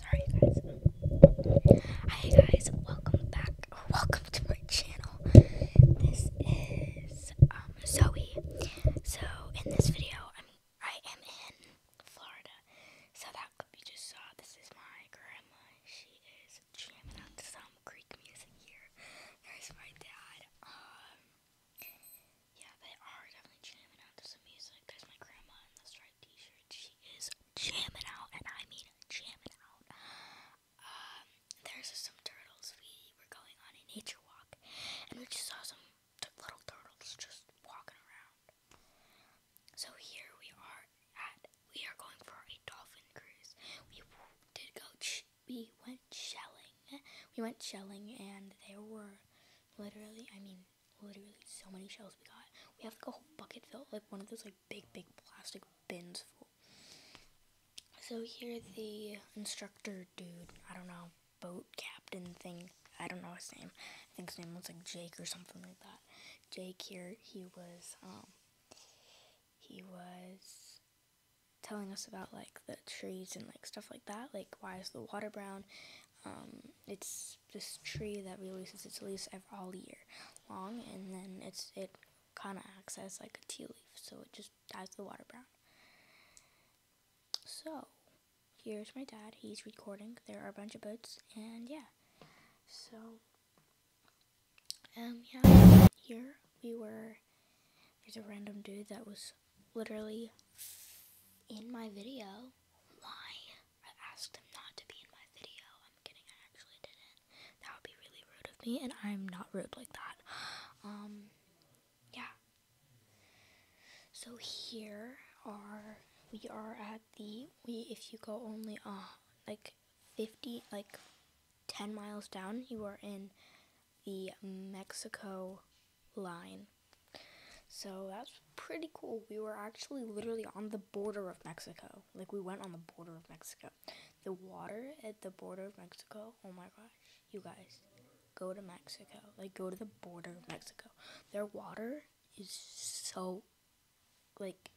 Sorry, guys. Hi, guys. Welcome back. welcome to my channel. This is um, Zoe. So, in this video, I'm in Florida. So that could be just saw. Uh, this is my grandma. She is jamming out some Greek music here. There's my dad. Um, yeah, they are definitely jamming out to some music. There's my grandma in the striped t-shirt. She is jamming out, and I mean jamming out. Um, there's some turtles. We were going on a nature walk, and we just saw some little turtles just walking around. So here we are at. We are going for a dolphin cruise. We did go. we went shelling. We went shelling, and there were literally. I mean literally so many shells we got. We have like a whole bucket full, like one of those like big, big plastic bins full. So here the instructor dude, I don't know, boat captain thing, I don't know his name. I think his name was like Jake or something like that. Jake here, he was, um, he was telling us about like the trees and like stuff like that, like why is the water brown um, it's this tree that releases its leaves every, all year long, and then it's it kind of acts as like a tea leaf, so it just dyes the water brown. So, here's my dad. He's recording. There are a bunch of boats, and yeah. So, um, yeah, here we were. There's a random dude that was literally in my video. Why? I asked him not to be in my video. I'm kidding, I actually didn't. That would be really rude of me, and I'm not rude like that. Um, yeah. So here are, we are at the, we, if you go only, ah like 50, like 10 miles down, you are in the Mexico line. So that's pretty cool. We were actually literally on the border of Mexico. Like we went on the border of Mexico. The water at the border of Mexico. Oh my gosh. You guys, go to Mexico. Like go to the border of Mexico. Their water is so like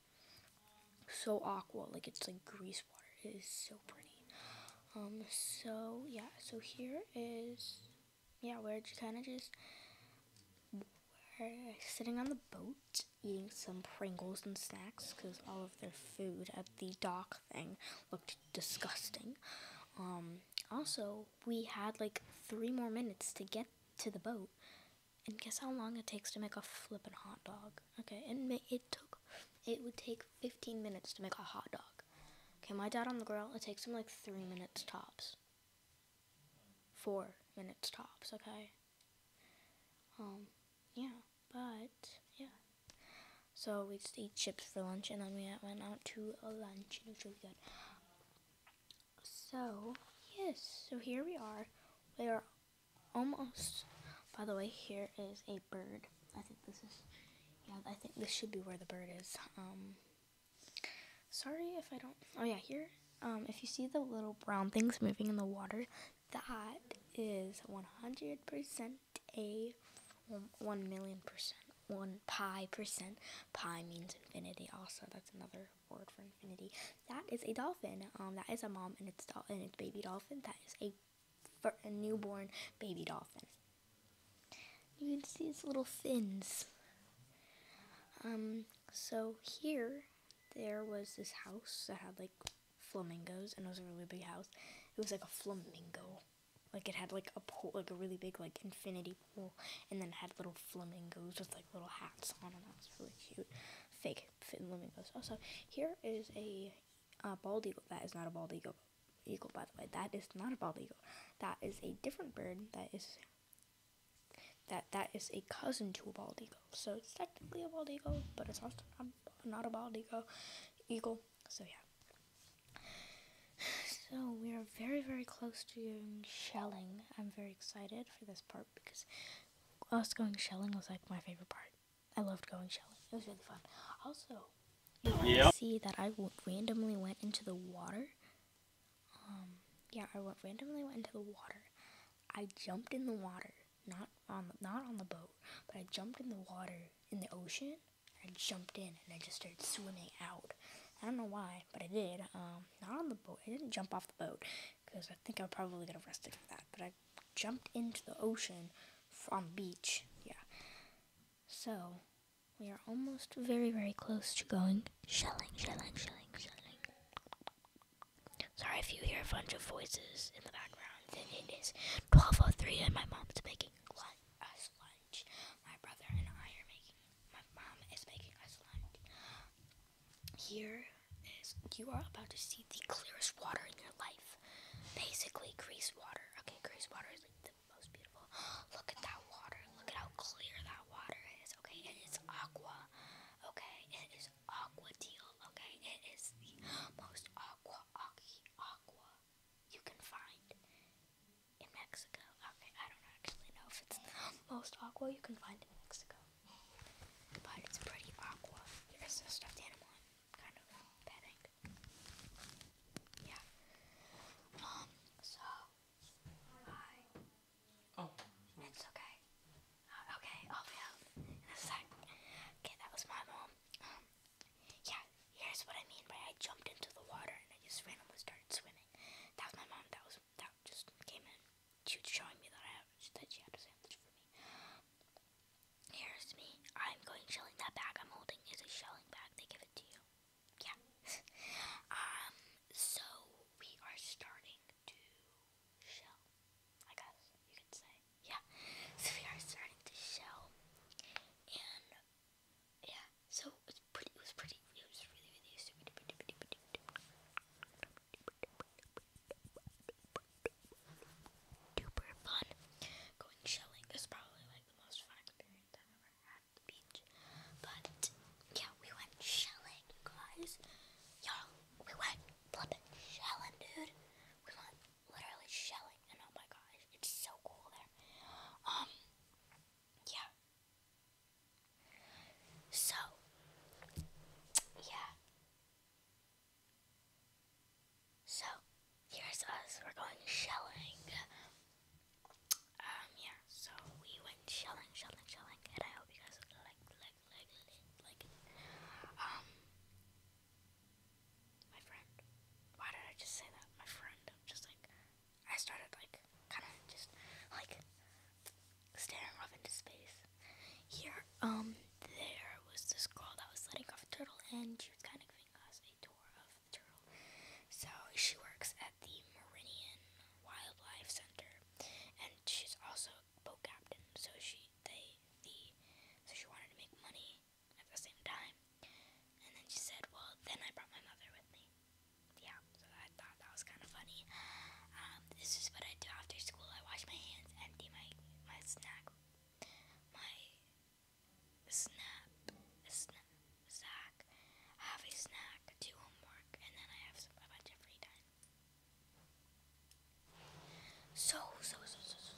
so aqua. Like it's like grease water. It is so pretty. Um so yeah, so here is yeah, we're kind of just sitting on the boat eating some Pringles and snacks because all of their food at the dock thing looked disgusting. Um, also, we had like three more minutes to get to the boat, and guess how long it takes to make a flippin' hot dog? Okay, and it took it would take 15 minutes to make a hot dog. Okay, my dad on the grill, it takes him like three minutes tops four minutes tops, okay? Um, yeah, but, yeah. So we just ate chips for lunch, and then we went out to a lunch, and it was really good. So, yes, so here we are. We are almost, by the way, here is a bird. I think this is, yeah, I think this should be where the bird is. Um, Sorry if I don't. Oh yeah, here. Um, if you see the little brown things moving in the water, that is 100% a 1 million percent. 1 pi percent. Pi means infinity also. That's another word for infinity. That is a dolphin. Um, that is a mom and its, do- and its baby dolphin. That is a, a newborn baby dolphin. You can see its little fins. Um, so here there was this house that had like flamingos and it was a really big house. It was like a flamingo. Like it had like a pool, like a really big like infinity pool, and then had little flamingos with like little hats on, and that was really cute. Fake flamingos. Also, here is a bald eagle. That is not a bald eagle eagle, by the way. That is not a bald eagle. That is a different bird that is that that is a cousin to a bald eagle. So it's technically a bald eagle, but it's also not, a bald eagle. Eagle. So yeah. So we are very very close to doing shelling. I'm very excited for this part because us going shelling was like my favorite part. I loved going shelling. It was really fun. Also, you see that I randomly went into the water um, yeah, I went, randomly went into the water. I jumped in the water, not on the, not on the boat, but I jumped in the water in the ocean. I jumped in and I just started swimming out. I don't know why, but I did. Um, not on the boat. I didn't jump off the boat because I think I will probably get arrested for that. But I jumped into the ocean from the beach. Yeah. So we are almost very, very close to going shelling, shelling, shelling, shelling. Sorry if you hear a bunch of voices in the background. Then it is 12.03 and my mom's making lunch, us lunch. My brother and I are making, my mom is making us lunch. Here is, you are about to see the clearest water in your life. Basically, greased water. Okay, greased water is like most beautiful. Look at that water. Look at how clear that water is. Okay, it is aqua. Okay, it is aqua teal. Okay, it is the most aqua aqua you can find in Mexico. Okay, I don't actually know if it's the most aqua you can find in Mexico, but it's pretty aqua. There's a stuffed animal. kind of petting. Yeah. Um. So Hi. Oh. It's okay. Uh, okay, I'll be out in a sec. Okay, that was my mom. Um, yeah, here's what I mean by I jumped into the water and I just randomly started swimming. That was my mom. That was that just came in. She was showing me that I have, that she had a sandwich for me. Here's me. I'm going shelling that bag I'm holding is a shelling bag. They give it to you yeah. um, so we are starting to shell, I guess you could say. Yeah. So we are starting to shell, and yeah. So it was pretty. It was pretty. It was really, really stupid. Duper fun. Going shelling is probably like the most fun experience I've ever had the beach. But yeah, we went shelling, you guys. Y'all, we went flipping shelling, dude. We went literally shelling, and oh my gosh, it's so cool there. Um, yeah. So, yeah. So, here's us. We're going shelling um, yeah, so we went shelling, shelling, shelling, and I hope you guys like, like, like, like, Um, my friend, why did I just say that? My friend, I'm just like, I started, like, kind of just, like, staring off into space. Here, um, there was this girl that was letting off a turtle, and she was kind of giving us Dora of the Turtle. So she works at the Meridian Wildlife Center, and she's also a boat captain. So she they the so she wanted to make money at the same time, and then she said, "Well, then I brought my mother with me." Yeah, so I thought that was kind of funny. Um, this is what I do after school. I wash my hands, empty my my snack, my snap, snap, snack, have a snack, do homework, and then I have some, a bunch of free time. So, so, so, so, so.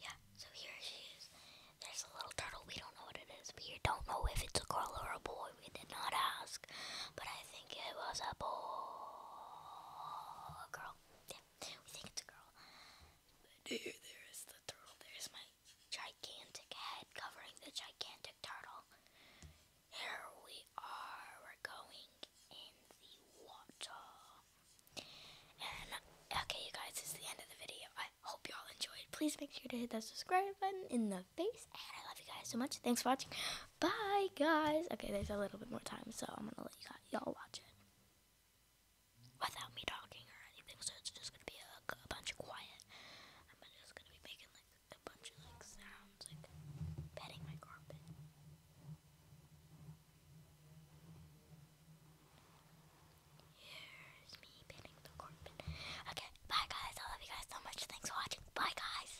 Yeah, so here she is. There's a little turtle. We don't know what it is. We don't know if it's a girl or a boy. We did not ask. But I think it was a boy. A girl. Yeah, we think it's a girl. There, there is the turtle. There's my gigantic head covering the gigantic turtle. Here we are. We're going in the water. And, okay, you guys, this is the end of the video. I hope you all enjoyed. Please make sure to hit that subscribe button in the face. And I love you guys so much. Thanks for watching. Bye, guys. Okay, there's a little bit more time, so I'm going to let y'all watch it without me talking or anything, so it's just gonna be a, bunch of quiet. I'm just gonna be making like a bunch of like sounds, like petting my carpet. Here's me petting the carpet. Okay, bye guys. I love you guys so much. Thanks for watching. Bye guys.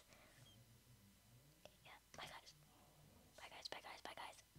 Yeah, bye guys. Bye guys. Bye guys. Bye guys.